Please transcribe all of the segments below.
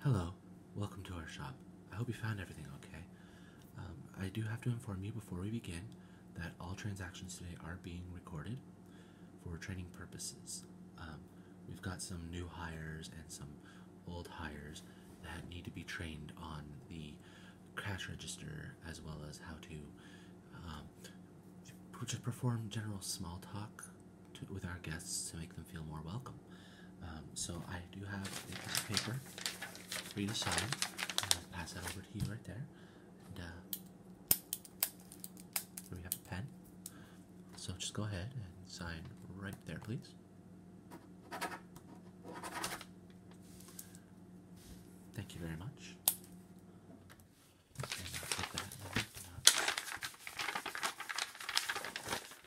Hello, welcome to our shop. I hope you found everything okay. Um, I do have to inform you before we begin that all transactions today are being recorded for training purposes. Um, we've got some new hires and some old hires that need to be trained on the cash register as well as how to just um, perform general small talk with our guests to make them feel more welcome. Um, so I do have a piece of paper for you to sign. pass that over to you right there. And uh, we have a pen. So just go ahead and sign right there, please. Thank you very much.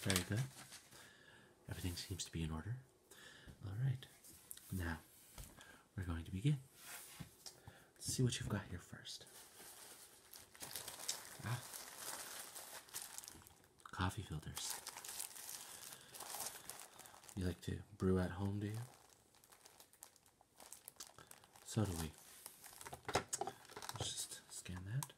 Very good. Everything seems to be in order. All right, now we're going to begin. Let's see what you've got here first. Ah. coffee filters. You like to brew at home, do you? So do we. Let's just scan that.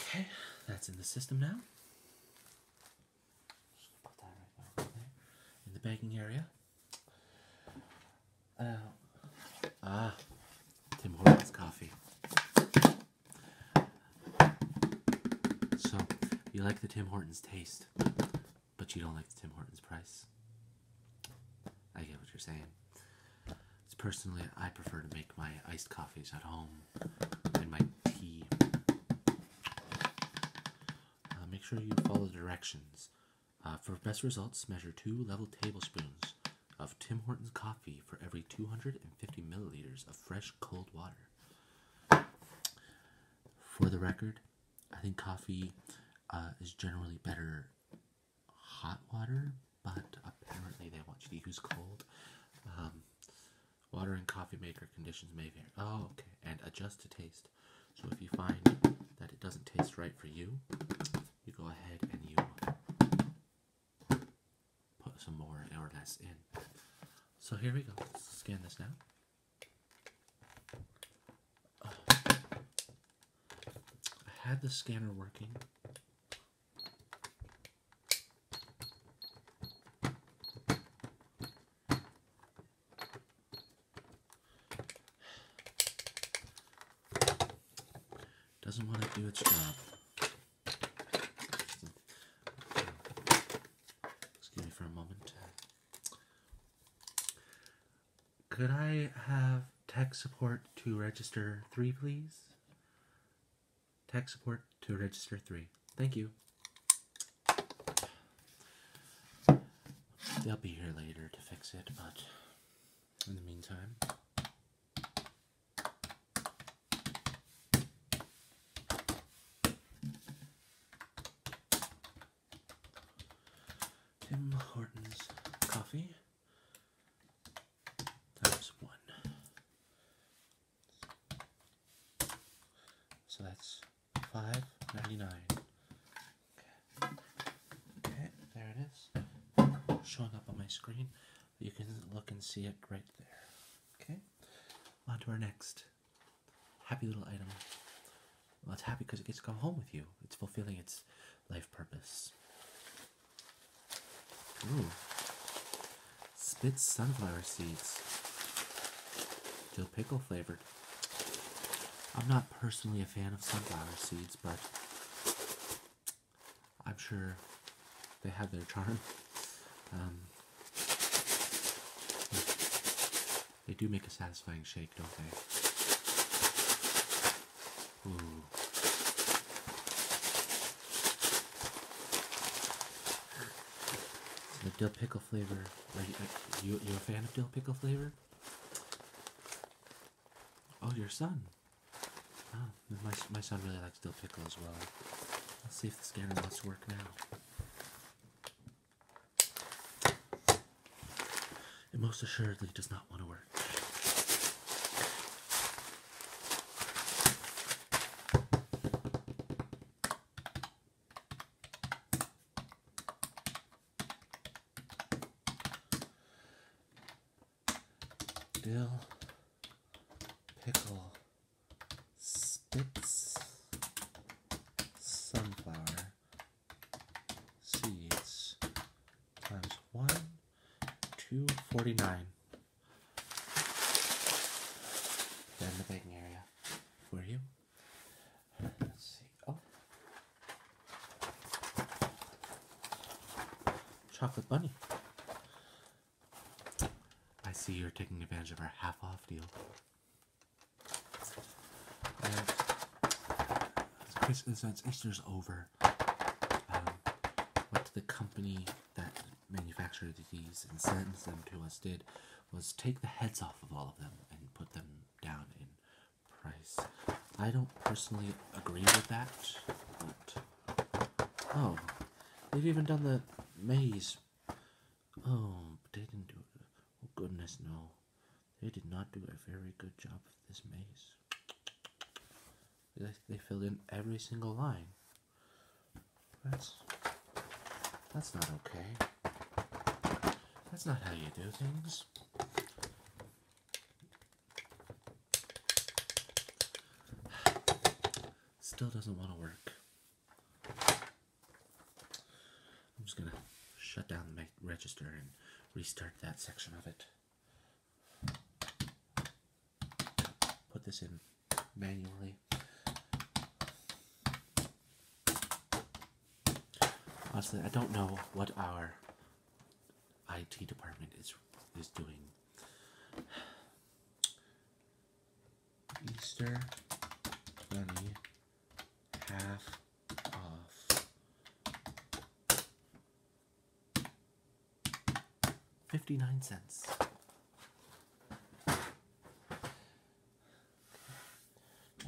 Okay, that's in the system now. in the banking area. Uh, ah, Tim Hortons coffee. So, you like the Tim Hortons taste, but you don't like the Tim Hortons price. I get what you're saying. personally, I prefer to make my iced coffees at home uh, make sure you follow the directions. Uh, for best results, measure two level tablespoons of Tim Hortons coffee for every 250 milliliters of fresh cold water. For the record, I think coffee uh, is generally better hot water, but apparently they want you to use cold. Um, Water and coffee maker conditions may vary. Oh, okay. And adjust to taste. So if you find that it doesn't taste right for you, you go ahead and you put some more or less in. So here we go. scan this now. Oh. I had the scanner working doesn't want to do its job. Excuse me for a moment. Could I have tech support to register three, please? Tech support to register 3. Thank you. They'll be here later to fix it, but in the meantime... Tim Hortons coffee times one so that's five ninety nine. Okay. there it is. Showing up on my screen. You can look and see it right there. Okay, on to our next happy little item. Well, it's happy because it gets to go home with you. It's fulfilling its life purpose. Ooh. Spit sunflower seeds. Dill pickle flavored. I'm not personally a fan of sunflower seeds, but I'm sure they have their charm. Um, they do make a satisfying shake, don't they? The dill pickle flavor. Are you, you, you a fan of dill pickle flavor? Oh, your son. Oh, my, my son really likes dill pickle as well. Let's see if the scanner wants to work now. It most assuredly does not want to work dill, pickle, spitz, sunflower seeds times 1 249. In the baking area. Were you? Let's see. Oh. Chocolate bunny. I see you're taking advantage of our half off deal. And since Easter's over, um, the company that manufactured these and sentenced them to us did was take the heads off of all of them and put them down in price. I don't personally agree with that, but oh, they've even done the maze. Oh, but they didn't do it. Oh goodness, no, they did not do a very good job of this maze. They, they filled in every single line. That's that's not okay. That's not how you do things. Still doesn't want to work. I'm just gonna shut down the register and restart that section of it put this in manually. Honestly, I don't know what our IT department is is doing. Easter twenty half off 59 cents.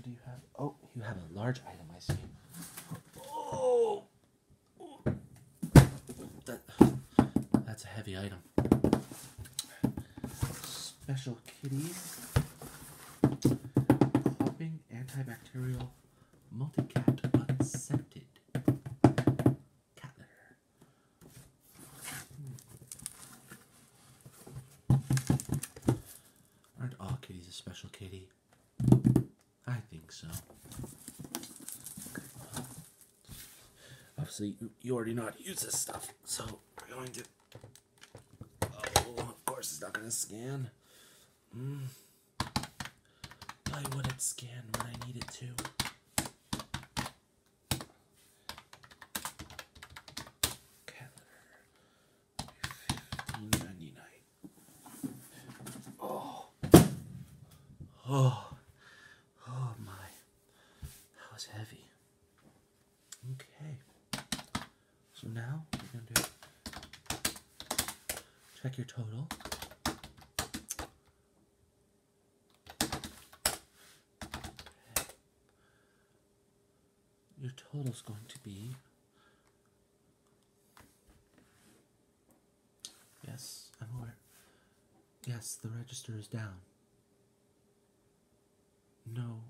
do you have? Oh, you have a large item, I see. Oh! That, that's a heavy item. Special Kitties Hopping Antibacterial multi Unscented Cat Litter. Hmm. Aren't all kitties a special kitty? I think so. Obviously, you already know how to use this stuff, so we're going to. Oh, of course, it's not going to scan. Mm. Why would it scan when I need it to? Calendar. Oh. Oh. Oh my. That was heavy. Okay. So now we're going to check your total. Your total is going to be Yes, I'm aware. Yes, the register is down. No,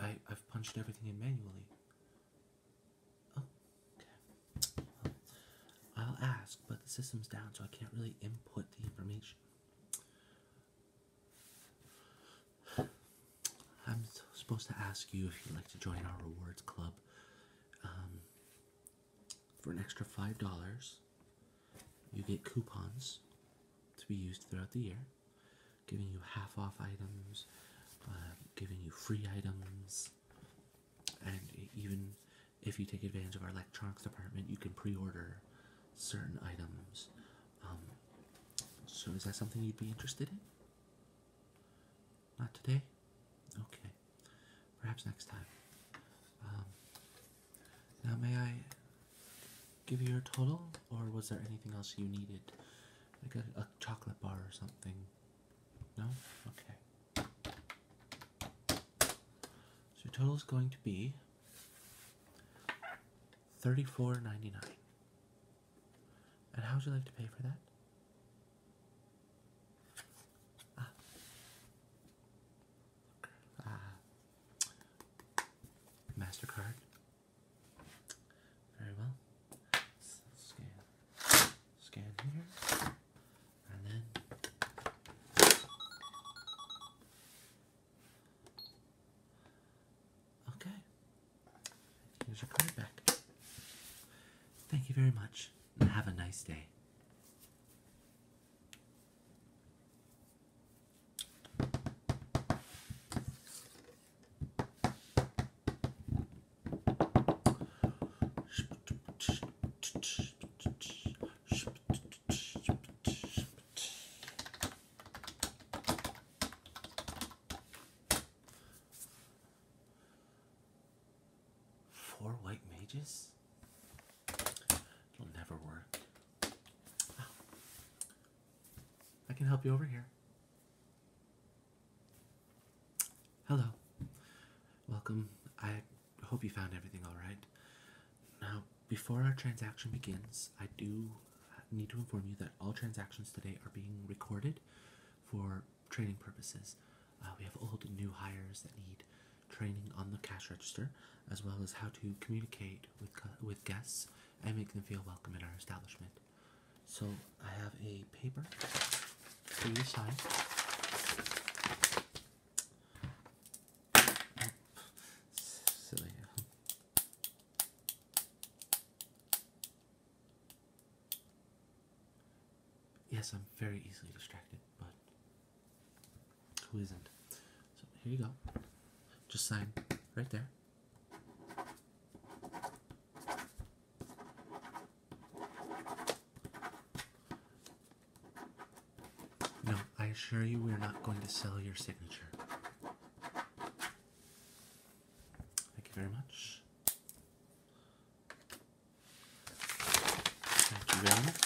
I, I've punched everything in manually. Oh, I'll ask, but the system's down, so I can't really input the information. I'm supposed to ask you if you'd like to join our rewards club um, for an extra five dollars. You get coupons to be used throughout the year, giving you half off items, uh, giving you free items, and even if you take advantage of our electronics department, you can pre-order certain items. Um, so is that something you'd be interested in? Not today? Okay. Perhaps next time. Um, now may I give you your total, or was there anything else you needed? Like a, chocolate bar or something? No? Okay. So total is going to be $34.99. And how would you like to pay for that? Ah. Ah. MasterCard. Very well. Scan. Scan here okay here's your card back thank you very much and have a nice day Four white mages? It'll never work. I can help you over here. Hello. Welcome. I I hope you found everything all right. Now, before our transaction begins, I do need to inform you that all transactions today are being recorded for training purposes. Uh, we have old and new hires that need training on the cash register, as well as how to communicate with with guests and make them feel welcome in our establishment. So I have a paper for to sign. Silly. Yes, I'm very easily distracted, but who isn't? So here you go. Just sign right there. No, I assure you we're not going to sell your signature. Thank you very much. Thank you very much.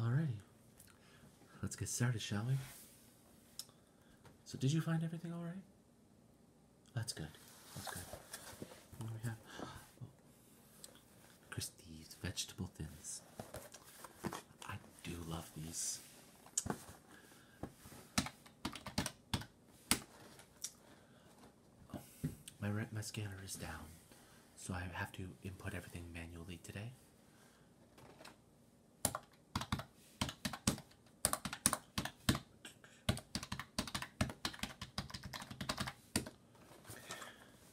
Alrighty. Let's get started, shall we? So did you find everything alright? That's good. That's good. What we have? Oh, Christie's vegetable thins. I do love these. my my scanner is down, so I have to input everything manually today veggie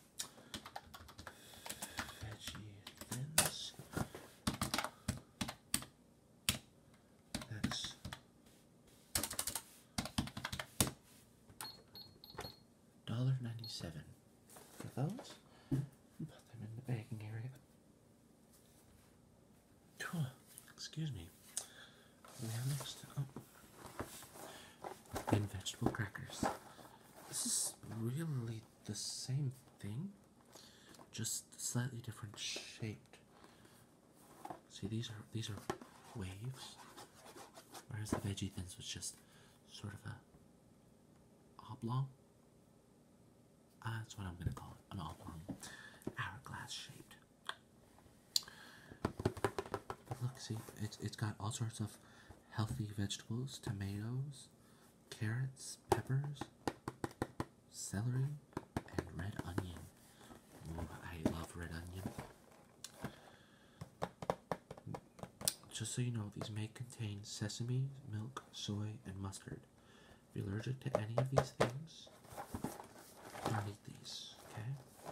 thins. That's dollar ninety seven for those. Put them in the bagging area. Excuse me. We and vegetable crackers. This is really the same thing, just slightly different shaped. See, these are these are waves, whereas the veggie things was just sort of a oblong. Ah, that's what I'm gonna call it, an oblong hourglass shaped. Look, see, it's, it's got all sorts of healthy vegetables, tomatoes, carrots, peppers, celery, and red onion. Oh, I love red onion. Just so you know, these may contain sesame, milk, soy, and mustard. If you're allergic to any of these things, don't eat these, okay?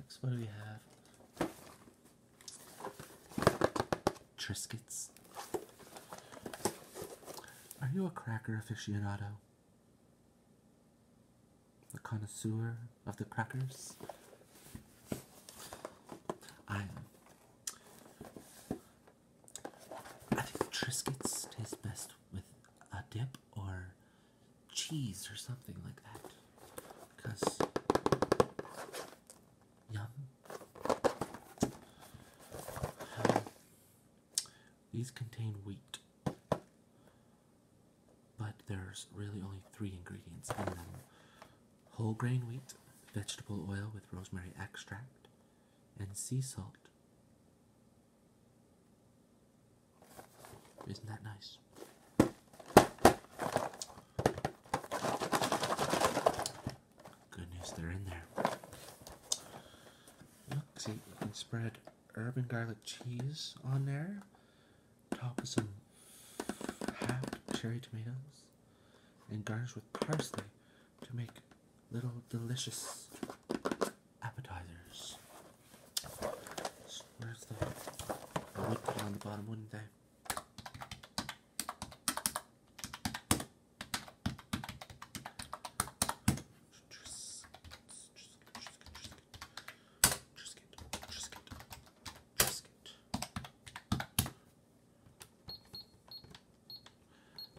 Next, what do we have? Triscuits. Are you a cracker aficionado? A connoisseur of the crackers? I I think Triscuits taste best with a dip or cheese or something like that. Because yum. Um, these contain wheat, but there's really only three ingredients in them whole grain wheat, vegetable oil with rosemary extract, and sea salt. Isn't that nice? Goodness, they're in there. Look, see, you can spread urban garlic cheese on there, top with some half cherry tomatoes, and garnish with parsley to make little delicious appetizers where's the I would put on the bottom, wouldn't I?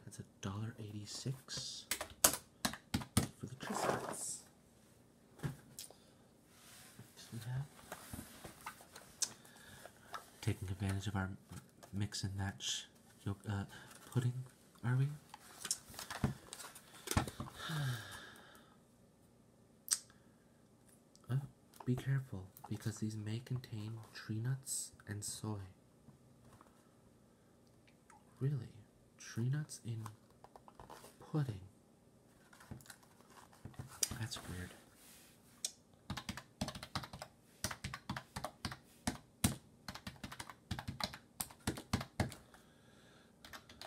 That's a dollar eighty-six for the Triscuits. Taking advantage of our mix and match yolk, uh, pudding, are we? Oh, be careful because these may contain tree nuts and soy. Really? Tree nuts in pudding? That's weird. Great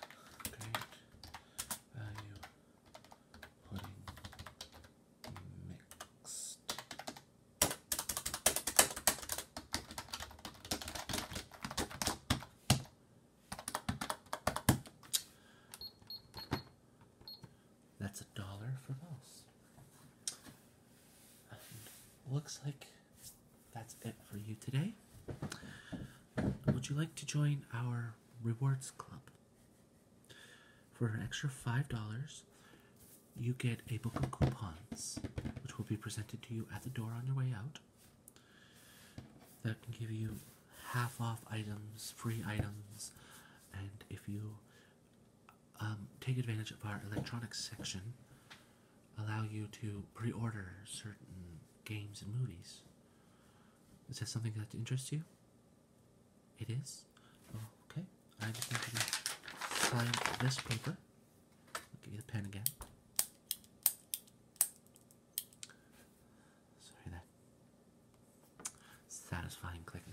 value pudding mixed. That's a dollar for us. looks like that's it for you today. Would you like to join our rewards club? For an extra $5, you get a book of coupons, which will be presented to you at the door on your way out that can give you half off items, free items, and if you um, take advantage of our electronics section, allow you to pre order certain games and movies. Is that something that interests you? It is? Okay. I just need to find this paper. give you the pen again. Sorry, that satisfying clicking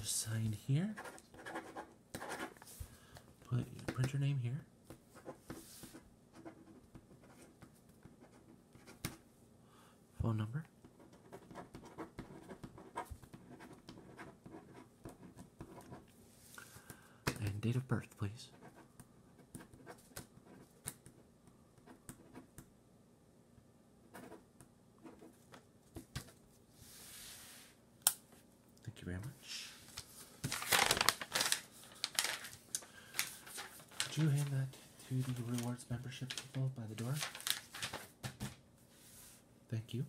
just sign here. Put print your name here. Phone number. And date of birth, please. Thank you very much. Would you hand that to the rewards membership people by the door? Thank you.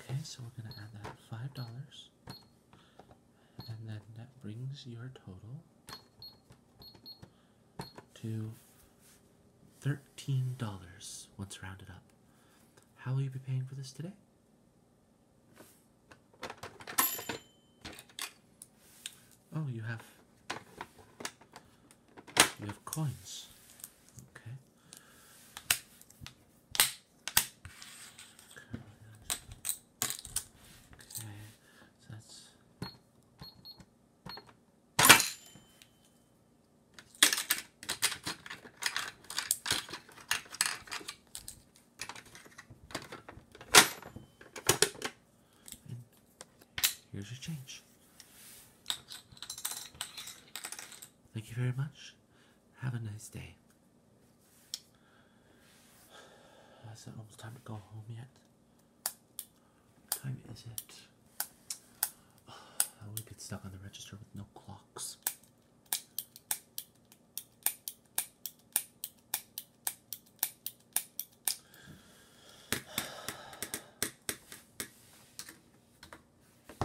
Okay, so we're gonna add that five dollars and then that brings your total to $13 once rounded up. How will you be paying for this today? Oh, you have you have coins. Okay. Okay, so that's. And here's your change. Thank you very much. Have a nice day. Is it almost time to go home yet? time is it? Oh, we get stuck on the register with no clocks.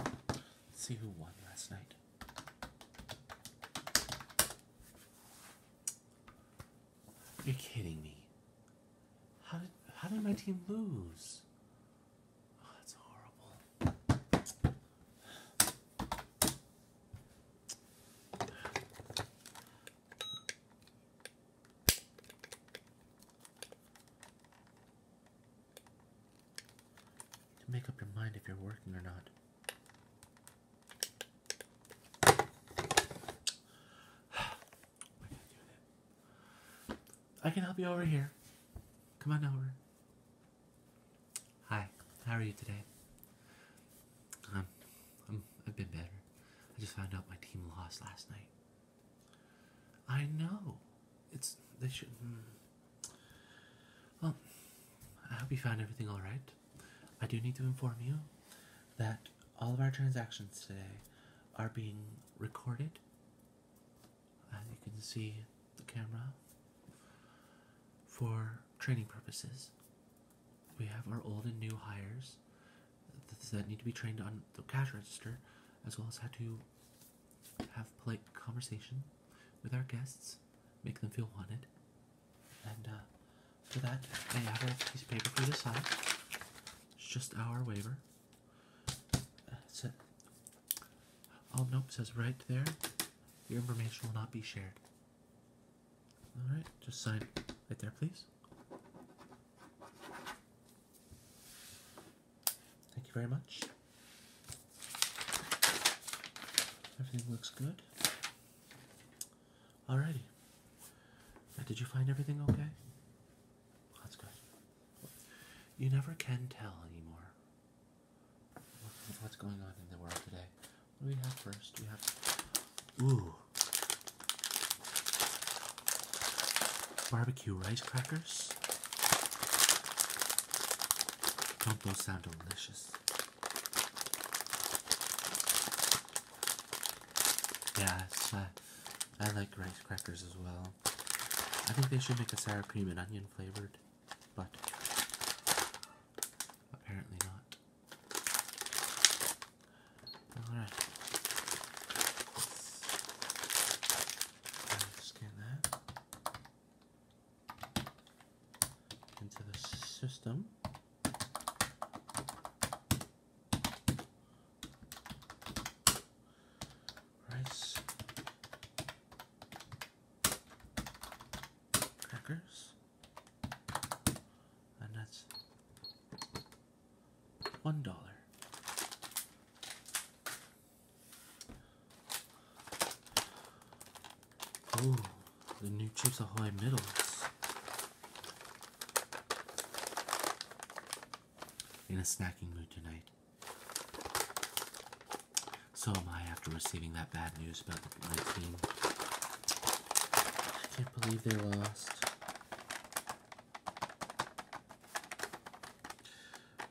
Let's see who won last night. You're kidding me. How did how did my team lose? Oh, that's horrible. You make up your mind if you're working or not. I can help you over here. Come on over. Hi, how are you today? Um, I'm, I've been better. I just found out my team lost last night. I know. It's, they should. Hmm. Well, I hope you found everything alright. I do need to inform you that all of our transactions today are being recorded. As you can see, the camera for training purposes. We have our old and new hires that need to be trained on the cash register, as well as how to have polite conversation with our guests, make them feel wanted, and uh, that, they have a piece of paper for you to sign. It's just our waiver. That's it. Oh, nope, says right there. Your information will not be shared. Alright, just sign right there, please. Thank you very much. Everything looks good. Alrighty. did you find everything okay? That's good. You never can tell anymore what's going on in the world today. What do we have first? We have. Ooh. Barbecue rice crackers. Don't those sound delicious? Yeah, uh, I like rice crackers as well. I think they should make a sour cream and onion flavored, but apparently not. Alright. Scan that into the system. Rice. Crackers. And that's one dollar. Oh, the new chips are high metals. In a snacking mood tonight. So am I after receiving that bad news about my team. I can't believe they lost.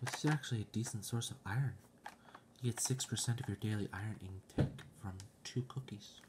This is actually a decent source of iron. You get 6% of your daily iron intake from two cookies.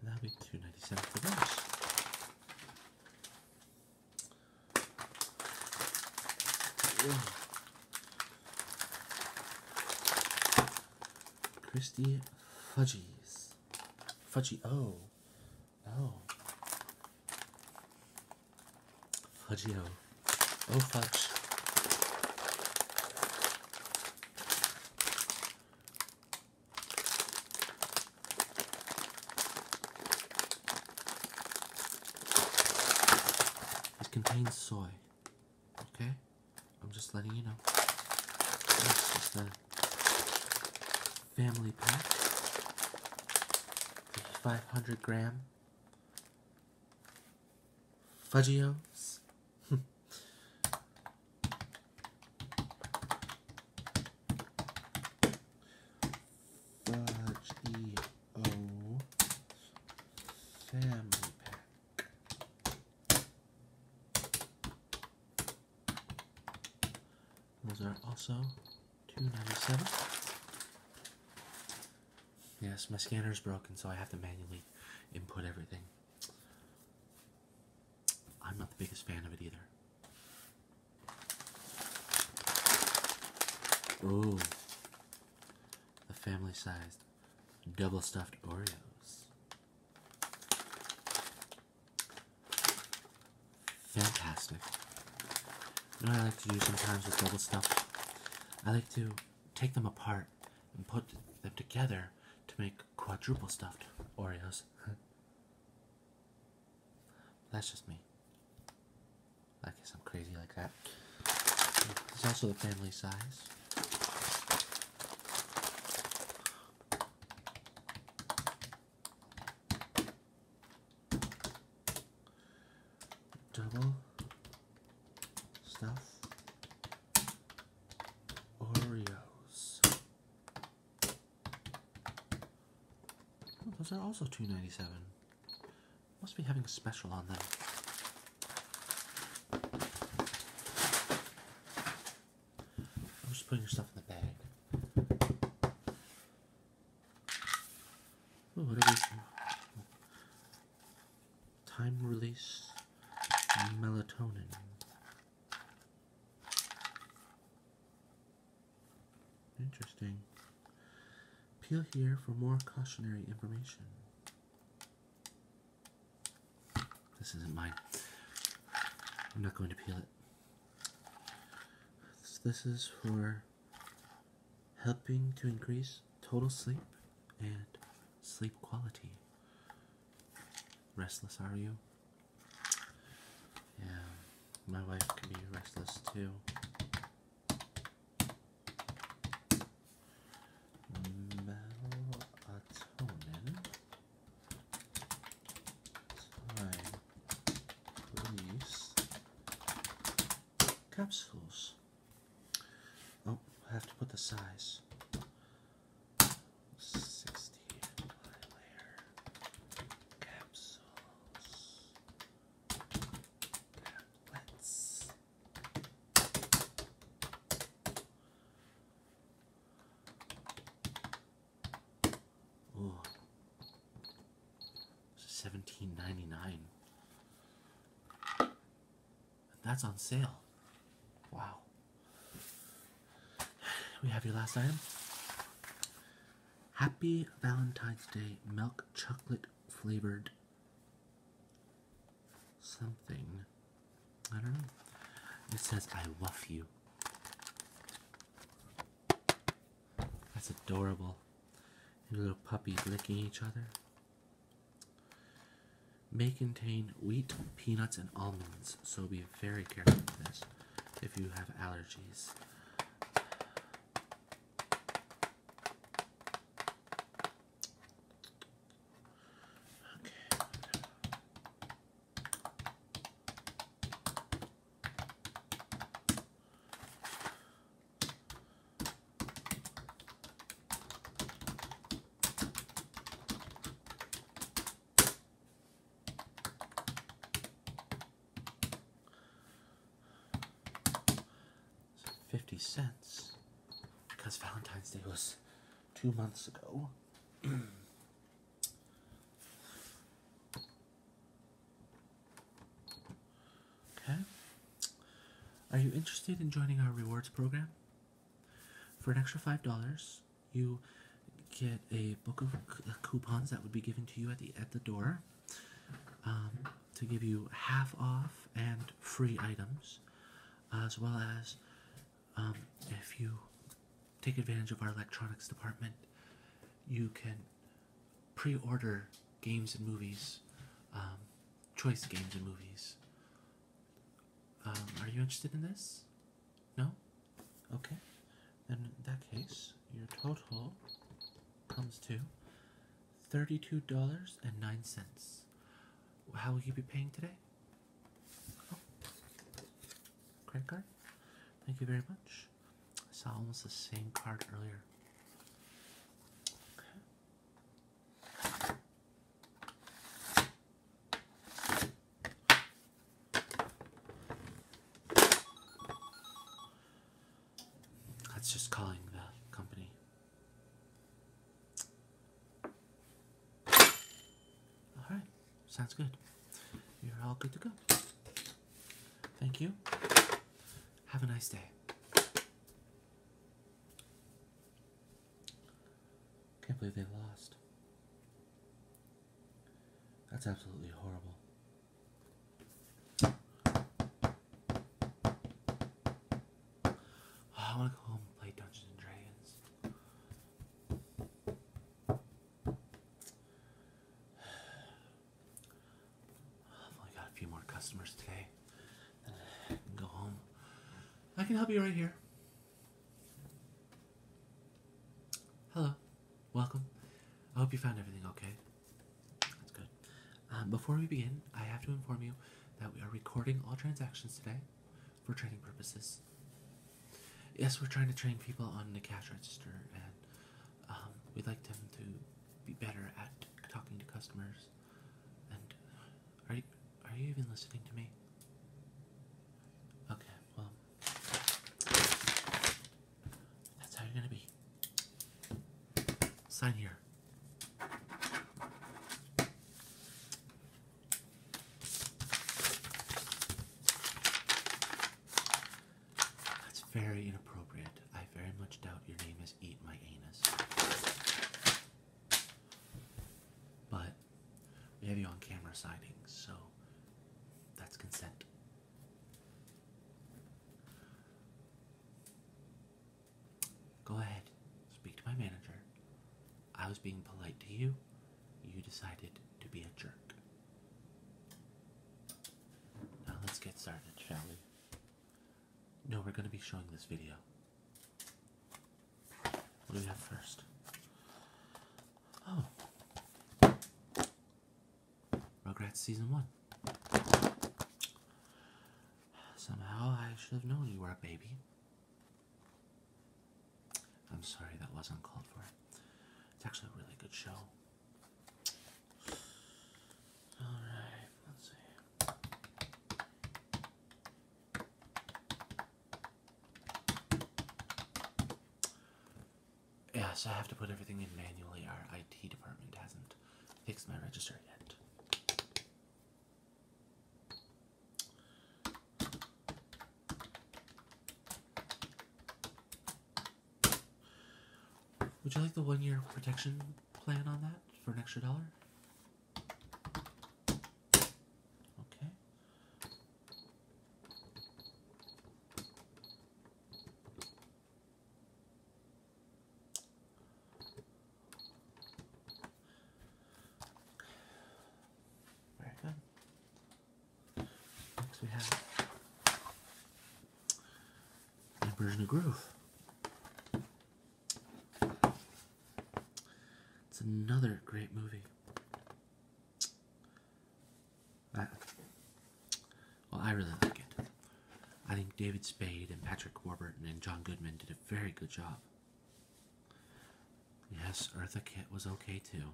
and that'll be two ninety seven for those. Whoa. Christy Fudgies. Fudgy oh. Oh. Fudgy oh. Oh fudge. It contains soy. Okay? I'm just letting you know. It's just a family pack. 500 gram Fudgios Fudge family pack. Those are also two ninety seven. Yes, my scanner is broken, so I have to manually input everything. I'm not the biggest fan of it either. Oh, the family sized double stuffed Oreos. Fantastic. what I like to do sometimes with double stuffed? I like to take them apart and put them together to make quadruple stuffed Oreos. That's just me. I guess I'm crazy like that. It's also the family size. Double stuff Oreos. Oh, those are also two ninety seven. Must be having a special on them. I'm just putting your stuff in the bag. Ooh, what are these? Time release melatonin. Interesting. Peel here for more cautionary information. This isn't mine. I'm not going to peel it. This is for helping to increase total sleep and sleep quality. Restless are you? Yeah, my wife can be restless too. Melatonin. Time release capsules. Oh, I have to put the size. 60 layer capsules, tablets. Ooh. Seventeen ninety nine. That's on sale. Wow. We have your last item. Happy Valentine's Day milk chocolate flavored something. I don't know. It says I love you. That's adorable. little puppies licking each other may contain wheat, peanuts, and almonds, so be very careful with this if you have allergies. 50 cents because Valentine's Day was two months ago. okay. Are you interested in joining our rewards program? For an extra $5, you get a book of uh, coupons that would be given to you at the at the door um, to give you half off and free items, as well as um, if you take advantage of our electronics department, you can pre-order games and movies, um, choice games and movies um, are you interested in this? No? Okay. Then in that case, your total comes to $32.09. How will you be paying today? Oh. Credit card? Thank you very much. I saw almost the same card earlier. That's just calling the company. All right, sounds good. You're all good to go. Thank you. Have a nice day. Can't believe they lost. That's absolutely horrible. I want to go home and play Dungeons and Dragons. I've only got a few more customers today. go home. I can help you right here. Hello, welcome. I hope you found everything okay. That's good. Um, before we begin, I have to inform you that we are recording all transactions today for training purposes. Yes, we're trying to train people on the cash register, and um, we'd like them to be better at talking to customers. And are you, are you even listening to me? Okay, well, that's how you're gonna be. Sign here. That's very inappropriate. I very much doubt your name is Eat My Anus. But we have you on camera sightings, so that's consent. Go ahead, speak to my manager. I was being polite to you. You decided to be a jerk. Now let's get started, shall we? No, we're going to be showing this video. What do we have first? Oh. Rugrats Season 1. Somehow I should have known you were a baby. I'm sorry, that was not called for. It's actually a really good show. Alright, let's see. Yes, I have to put everything in manually. Our IT department hasn't fixed my register yet. Would you like the one year protection plan on that for an extra dollar? Okay. Very good. Next we have Emperor's of Groove. It's another great movie well, I really like it. I think David Spade and Patrick Warburton and John Goodman did a very good job. Yes, Eartha Kitt was okay too.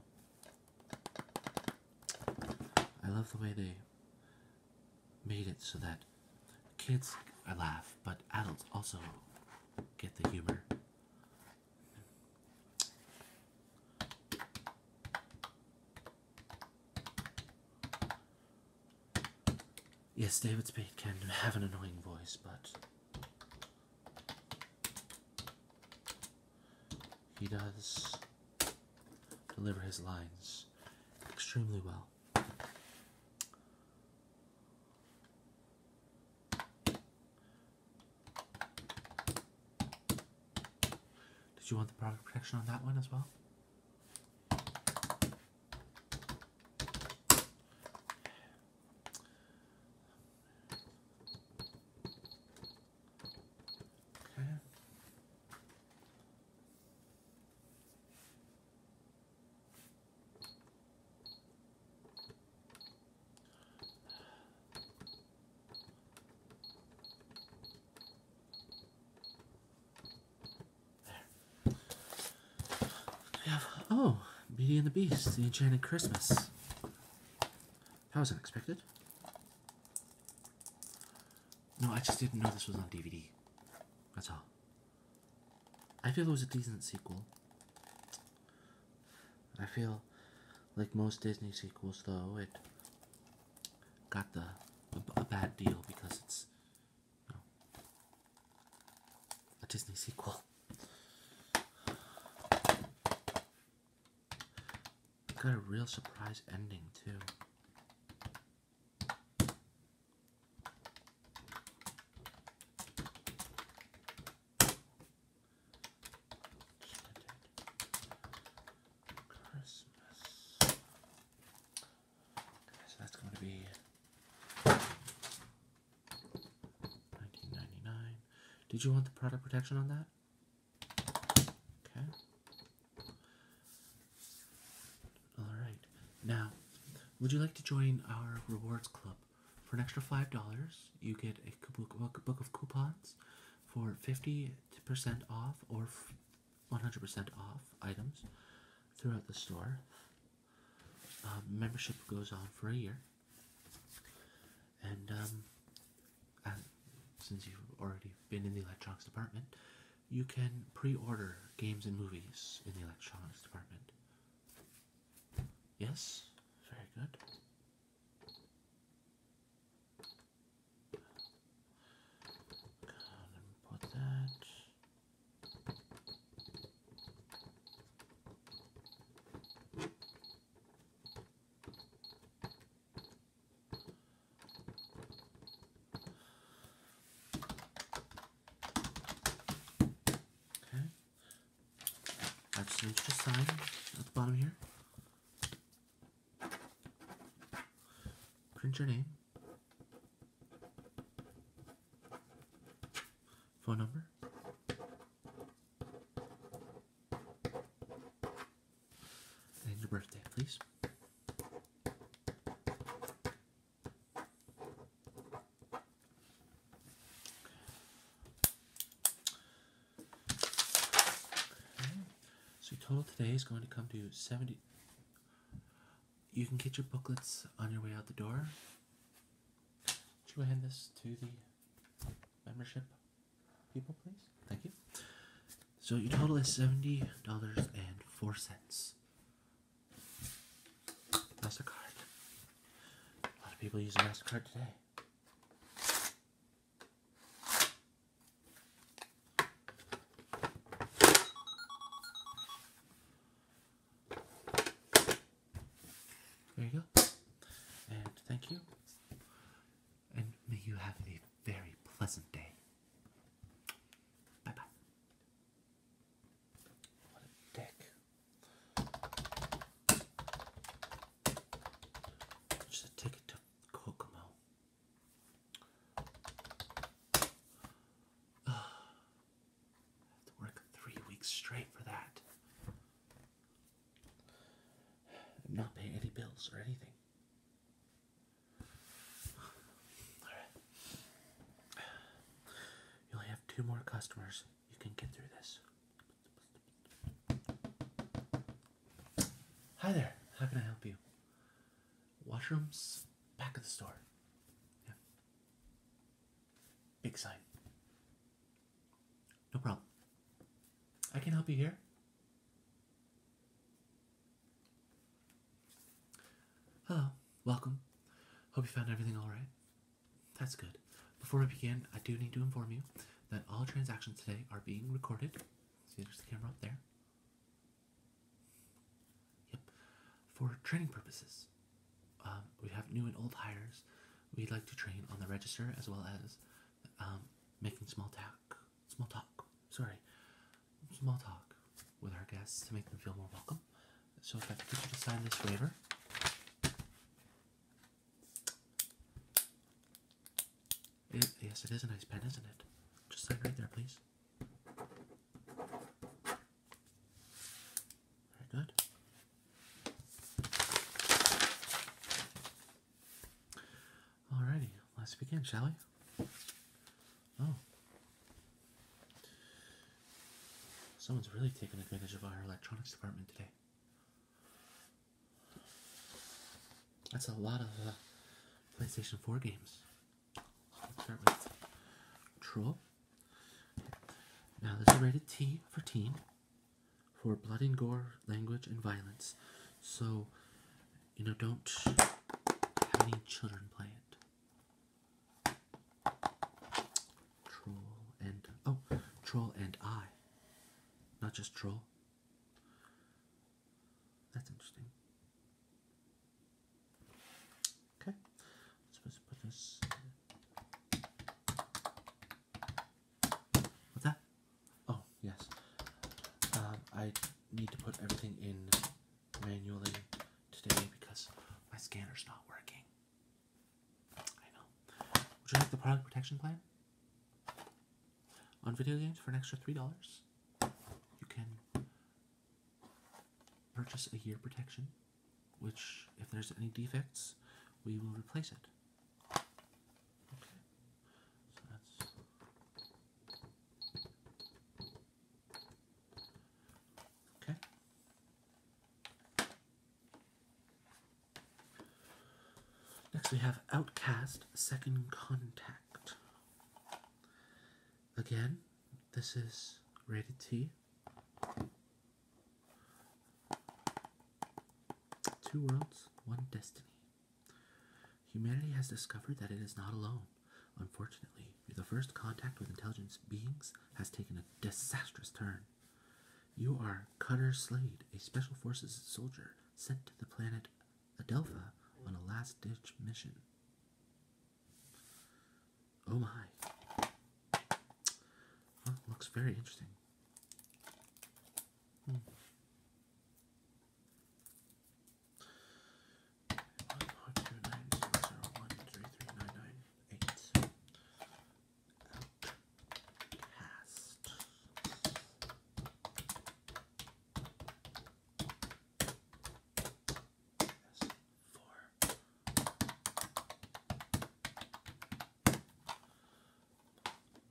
I love the way they made it so that kids I laugh, but adults also get the humor. Yes, David Spade can have an annoying voice, but he does deliver his lines extremely well. Did you want the product protection on that one as well? Okay oh, Beauty and the Beast, The Enchanted Christmas. That was unexpected. No, I just didn't know this was on DVD. That's all. I feel it was a decent sequel. I feel like most Disney sequels, though, it got the a, bad deal because it's a Disney sequel. Got a real surprise ending too so that's going to be 1999. Did you want the product protection on that? Okay. All right. Now, would you like to join our rewards club? for an extra $5, you get a book, book of coupons for 50% off or 100% off items throughout the store. Um, membership goes on for a year. And um, since you've already been in the electronics department, you can pre-order games and movies in the electronics department. Yes, very good and put that. Okay. I've changed the sign at the bottom here. Print your name, phone number, and your birthday, please. So total today is going to come to 70. You can get your booklets on your way out the door. Would you hand this to the membership people, please? Thank you. So your total is seventy dollars and four cents. Mastercard. A lot of people use Mastercard today. There you go. And thank you. And may you have a very pleasant day. Bye bye. What a dick. Just a ticket to Kokomo. Uh, I have to work three weeks straight for that. And not pay any bills or anything. All right. You only have two more customers. You can get through this. Hi there. How can I help you? Washrooms back of the store. Yeah. Big sign. No problem. I can help you here. Hello. Welcome. Hope you found everything all right. That's good. Before we begin, I do need to inform you that all transactions today are being recorded. See, there's the camera up there. Yep. For training purposes, um, we have new and old hires. We'd like to train on the register as well as um, making small talk. Small talk. Sorry. Small talk with our guests to make them feel more welcome. So if I could get you to sign this waiver yes, it is a nice pen, isn't it? Just sign right there, please. Very good. Alrighty, let's begin, shall we? Oh. Someone's really taken advantage of our electronics department today. That's a lot of uh, PlayStation 4 games. Let's start with Troll. Now, this is rated T for teen for blood and gore, language, and violence. So, you know, don't have any children play it. Troll and. Oh, Troll and I. Not just Troll. That's interesting. Okay, let's put this. What's that? Oh, yes. Um, I need to put everything in manually today because my scanner's not working. I know. Would you like the product protection plan? on video games for an extra $3, you can purchase a year protection, which, if there's any defects, we will replace it. Okay. Next, we have Outcast Second Contact. Again, this is rated T. Two worlds, one destiny. Humanity has discovered that it is not alone. Unfortunately, the first contact with intelligent beings has taken a disastrous turn. You are Cutter Slade, a Special Forces soldier sent to the planet Adelpha on a last ditch mission. Oh my. looks very interesting past. four.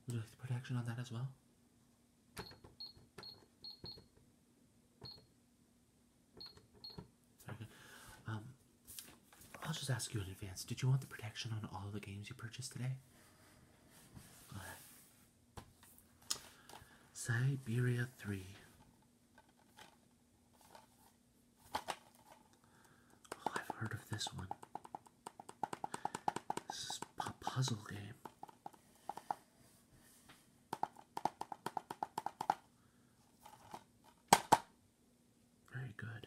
Would you like on that as well? Um, I'll just ask you in advance. Did you want the protection on all the games you purchased today? Siberia 3. I've heard of this one. This is a puzzle game. Very good.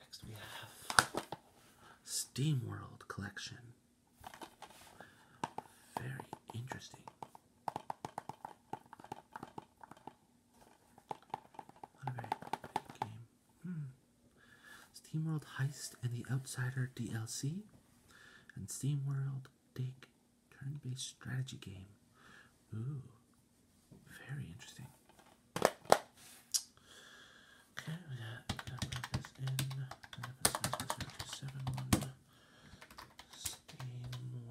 Next we have Steam Collection. Very interesting. very big game. Hmm. SteamWorld Heist and the Outsider DLC and SteamWorld Dig turn-based strategy game. Ooh, very interesting. Okay, we got this in. Seven one Steam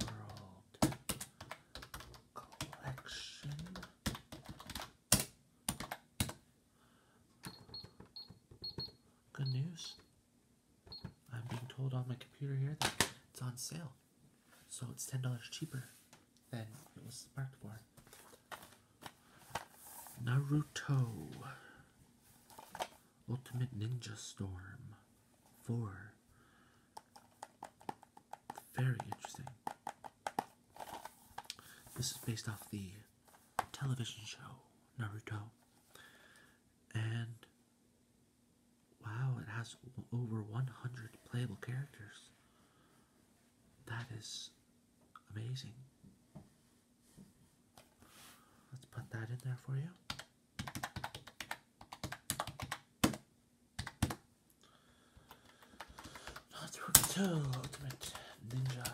World Collection. Good news. I'm being told on my computer here that it's on sale. So it's ten dollars cheaper then it was marked for. Naruto Ultimate Ninja Storm 4. Very interesting. This is based off the television show Naruto. And wow, it has over 100 playable characters. That is amazing. Let's put that in there for you. Not Ultimate Ninja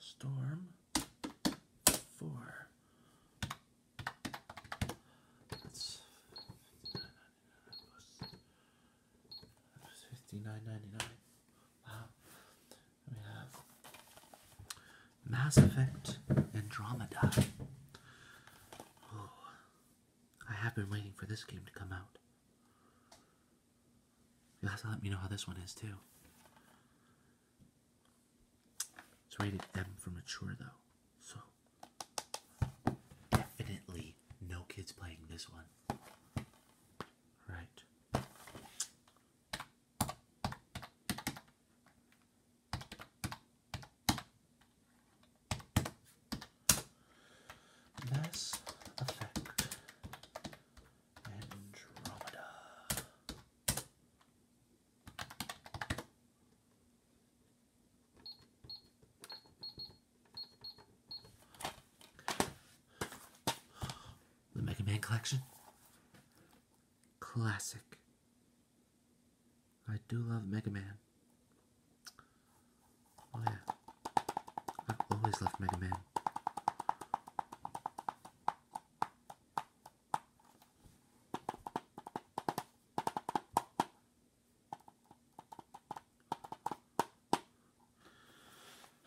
Storm 4. That's $69.99. Wow. We have Mass Effect Andromeda. Oh, I have been waiting for this game to come out. You'll let me know how this one is too. It's rated M for mature though, so Definitely no kids playing this one. Right. Mass Effect Andromeda. The Mega Man collection. Classic. I do love Mega Man. Oh yeah. I've always loved Mega Man.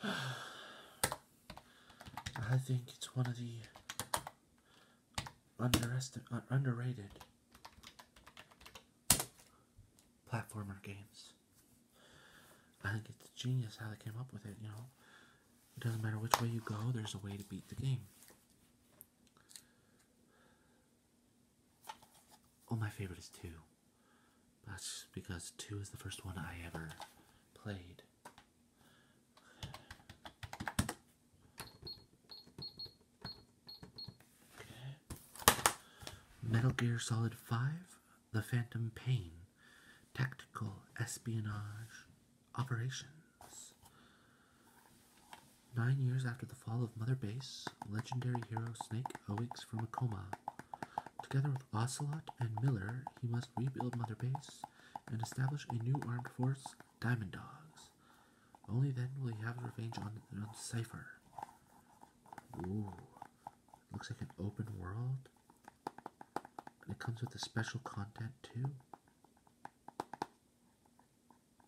I think it's one of the underestim- uh, underrated platformer games. I think it's genius how they came up with it, you know. It doesn't matter which way you go, there's a way to beat the game. Oh, my favorite is 2. That's because 2 is the first one I ever played. Metal Gear Solid 5 The Phantom Pain Tactical Espionage Operations. Nine years after the fall of Mother Base, legendary hero Snake awakes from a coma. Together with Ocelot and Miller, he must rebuild Mother Base and establish a new armed force, Diamond Dogs. Only then will he have revenge on, Cypher. Ooh, looks like an open world. And it comes with a special content too.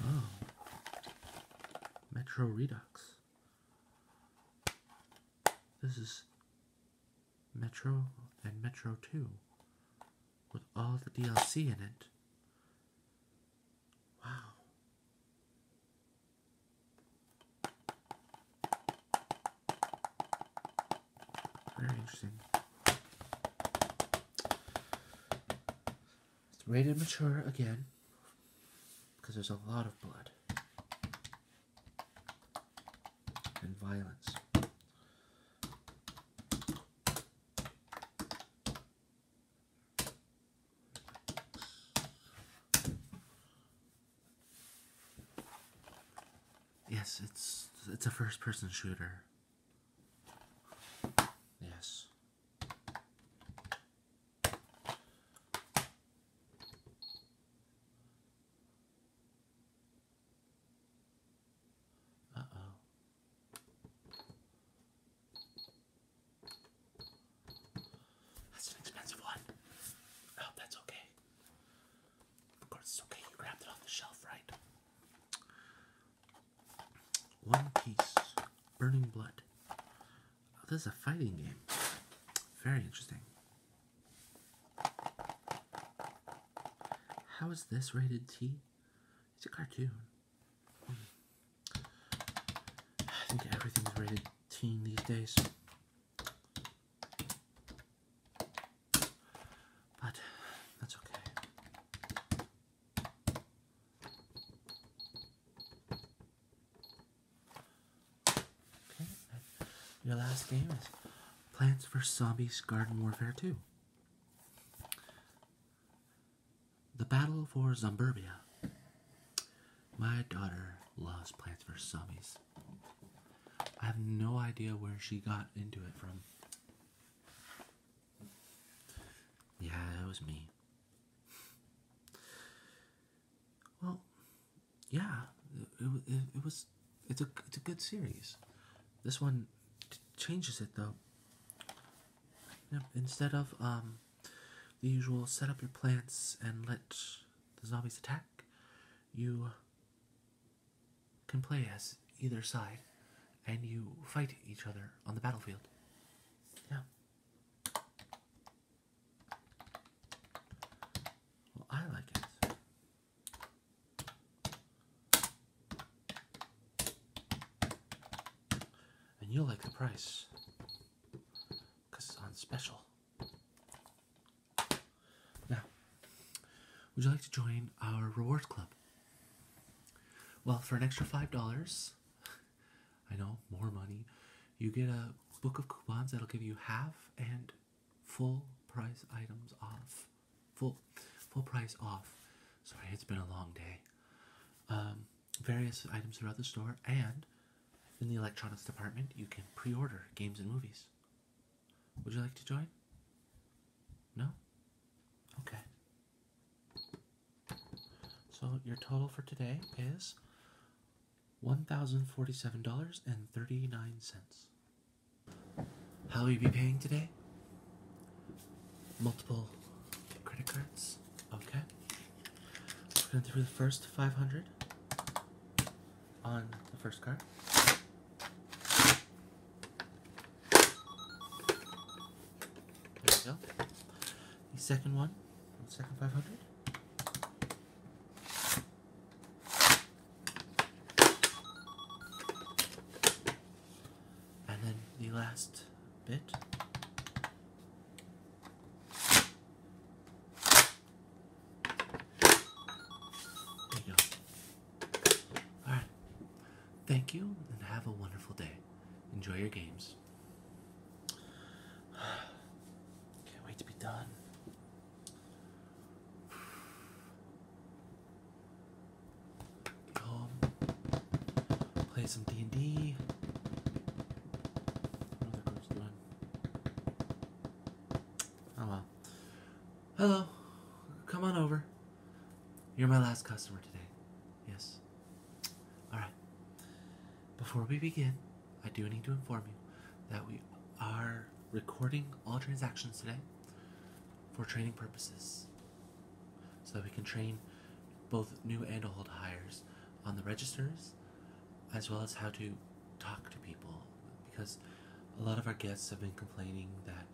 Oh. Metro Redux. This is Metro and Metro 2 with all the DLC in it. Wow. Very interesting. It's rated mature again because there's a lot of blood and violence. Yes, it's it's a first person shooter. Yes. That's an expensive one. I oh, that's okay. Of course, it's okay. You grabbed it off the shelf, right? One piece burning blood. Oh, this is a fighting game. Very interesting. How is this rated T? It's a cartoon. I think everything's rated T these days. But that's okay. Okay. Your last game is Plants vs. Zombies Garden Warfare 2. The Battle for Zomburbia. My daughter loves Plants vs. Zombies. I have no idea where she got into it from. Yeah, it was me. Well, yeah, it, it, was. It's a it's a good series. This one changes it though. Instead of um, the usual set up your plants and let the zombies attack, you can play as either side, and you fight each other on the battlefield. Yeah. Well, I like it. And you'll like the price because it's on special. Now, would you like to join our rewards club? Well, for an extra $5, I know, more money. You get a book of coupons that'll give you half and full price items off. Full full price off. Sorry, it's been a long day. Um, various items throughout the store, and in the electronics department, you can pre order games and movies. Would you like to join? No? Okay. So your total for today is $1,047.39. How will you be paying today? Multiple credit cards. Okay. We're going to do the first 500 on the first card. There we go. The second one, the second 500. And then the last bit. There you go. Alright. Thank you and have a wonderful day. Enjoy your games. Can't wait to be done. Get play some D and D. Another ghost Oh well. Hello, come on over. You're my last customer today. Yes, Alright. Before we begin, I do need to inform you that we are recording all transactions today for training purposes so that we can train both new and old hires on the registers as well as how to talk to people because a lot of our guests have been complaining that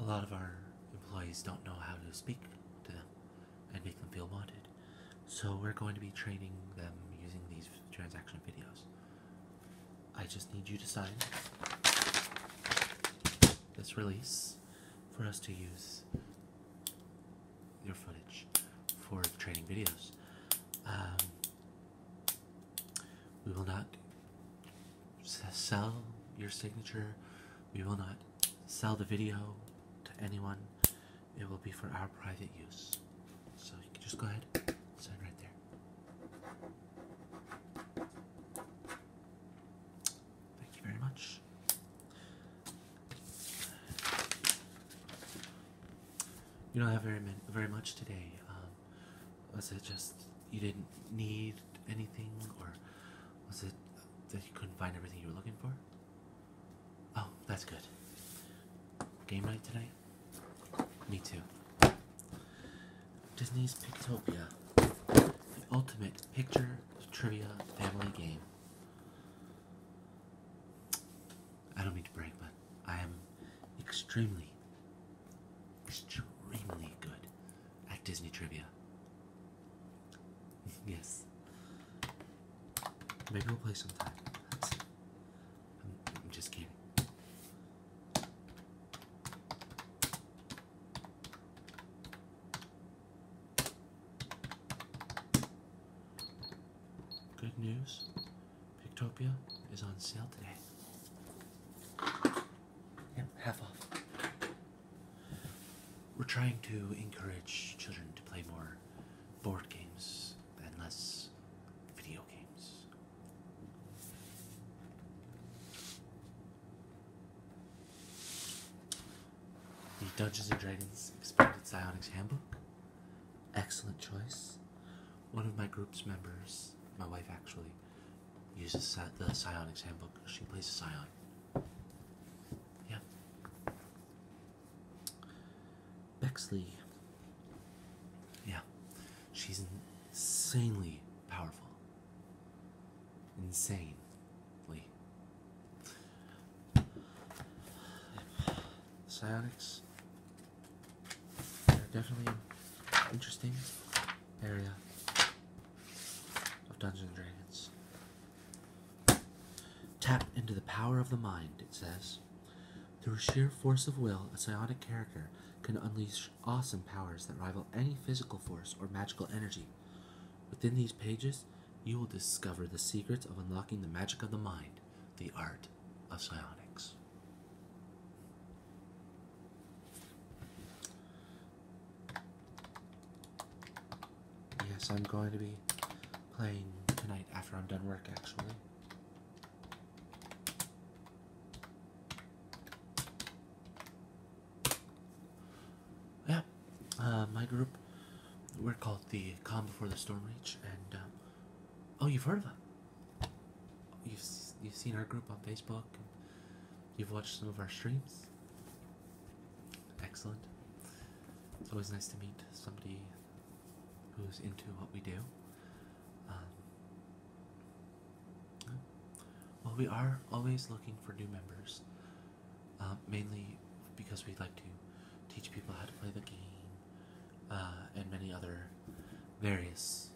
a lot of our employees don't know how to speak to them and make them feel wanted. So we're going to be training them using these transaction videos. I just need you to sign this release for us to use your footage for training videos. Um, we will not sell your signature. We will not sell the video to anyone. It will be for our private use. So you can just go ahead sign right there. Thank you very much. You don't have very very much today. Um, was it just you didn't need anything, or was it that you couldn't find everything you were looking for? Oh, that's good. Game night tonight? Me too. Disney's Pictopia. The ultimate picture trivia family game. I don't mean to brag, but I am extremely, extremely good at Disney trivia. yes. Maybe we'll play sometime. I'm, I'm just kidding. Good news, Pictopia is on sale today. Yep, half off. We're trying to encourage children to play more board games and less video games. The Dungeons and Dragons Expanded Psionics Handbook. Excellent choice. One of my group's members, my wife actually, uses the Psionics Handbook. She plays a Scion. Yeah. Bexley. Yeah, she's insanely powerful. Insanely. Psionics are definitely an interesting area of Dungeons and Dragons. Tap into the power of the mind, it says. Through sheer force of will, a psionic character can unleash awesome powers that rival any physical force or magical energy. Within these pages, you will discover the secrets of unlocking the magic of the mind, the art of psionics. Yes, I'm going to be playing tonight after I'm done work, actually. Yeah, uh, my group, we're called the Calm Before the Storm Reach, and um, oh, you've heard of it. You've, you've seen our group on Facebook, you've watched some of our streams excellent. It's always nice to meet somebody who's into what we do. Um, well, we are always looking for new members, uh, mainly because we like to teach people how to play the game uh, and many other various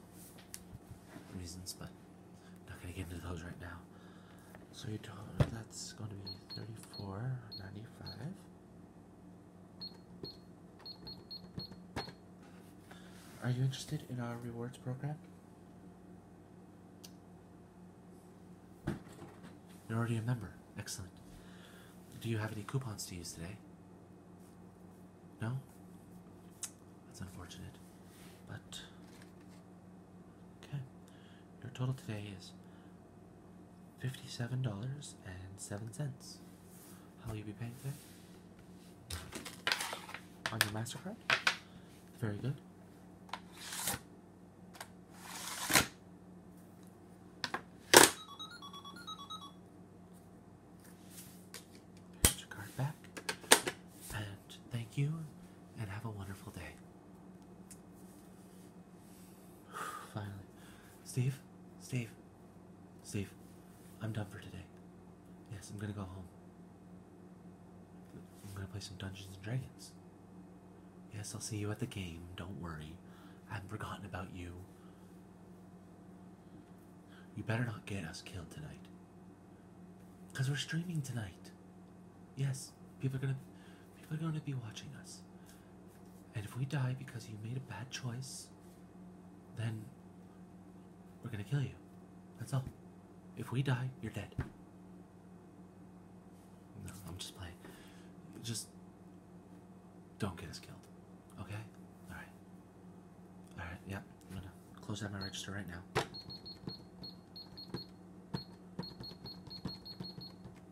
reasons, but I'm not going to get into those right now. So your dollar, that's going to be thirty-four ninety-five. Are you interested in our rewards program? You're already a member. Excellent. Do you have any coupons to use today? No? That's unfortunate. But. Okay. Your total today is fifty-seven dollars and seven cents. How will you be paying today? On your Mastercard. Very good. Put your card back, and thank you, and have a wonderful day. Finally. Steve? Steve? Steve, I'm done for today. Yes, I'm gonna go home. I'm gonna play some Dungeons and Dragons. Yes, I'll see you at the game. Don't worry. I haven't forgotten about you. You better not get us killed tonight. Because we're streaming tonight. Yes, people are gonna people are gonna be watching us. And if we die because you made a bad choice, then we're gonna kill you. That's all. If we die, you're dead. No, I'm just playing. Just don't get us killed. Okay? Alright. Alright, yeah. I'm gonna close out my register right now.